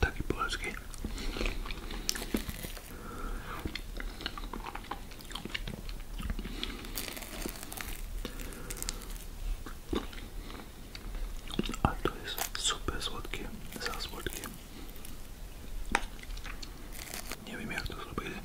Taki polski. Ale to jest super słodkie, za słodkie. Nie wiem jak to zrobili.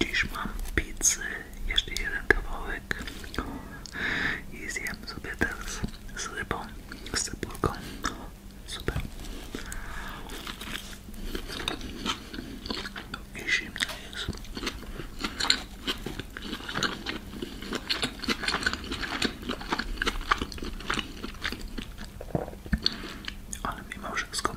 Dziś mam pizzę, jeszcze jeden kawałek i zjem sobie teraz z rybą, z cebulką. Super. I zimna jest. Ale mimo wszystko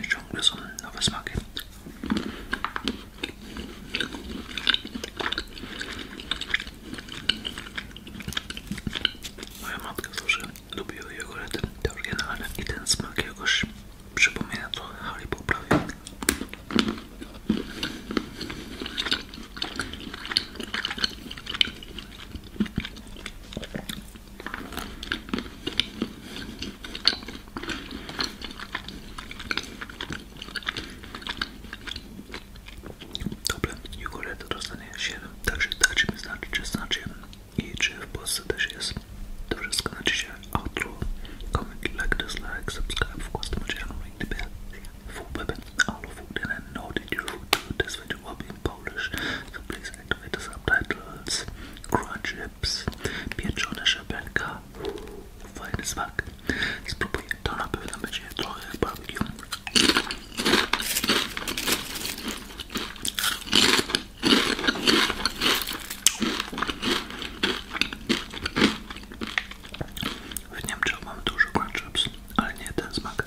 I ciągle są nowe smaki. Moja matka zawsze lubiła jogurty, te oryginalne i ten smak jakoś przypomina trochę Haribo prawie. Dobra, Jugolet dostanie się. także dajcie mi znać, czy znacie i czy w Polsce też jest. To wszystko na dzisiaj. Outro, comment, like, dislike, subscribe, wkład do materiału i gdyby Foodweb all of food and non-digital food to this video will be in Polish, so please activate the subtitles. Crunch chips, pieczone szabelka, fajny smak. Spróbuję, to na pewno będzie trochę jak barbecue. W Niemczech mam dużo crunch chips, ale nie ten smak.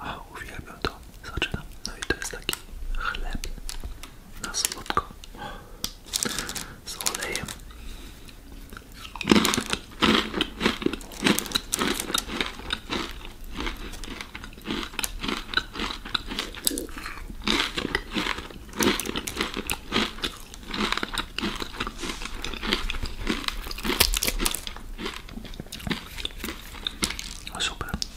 a uwielbiam to, Zaczyna. No i jest taki chleb na słodko z olejem. No super,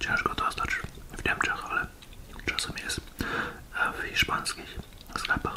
Ciężko dostać Wiem, Niemczech, ale czasem jest w hiszpańskich sklepach.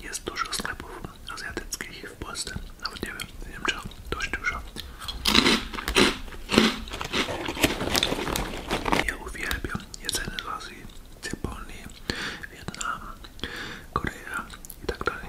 Jest dużo sklepów azjatyckich w Polsce, nawet nie wiem, w Niemczech dość dużo. Ja uwielbiam jedzenie z Azji, z Japonii, Wietnam, Korea i tak dalej.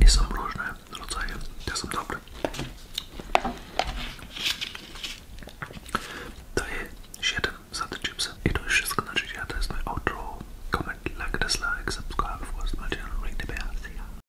I są różne rodzaje, te są dobre. Daję 7 za te chipsy. I to już wszystko na dzisiaj. To jest mój outro. Comment, like, dislike, subscribe. Włącz na no channel, ring the bell. See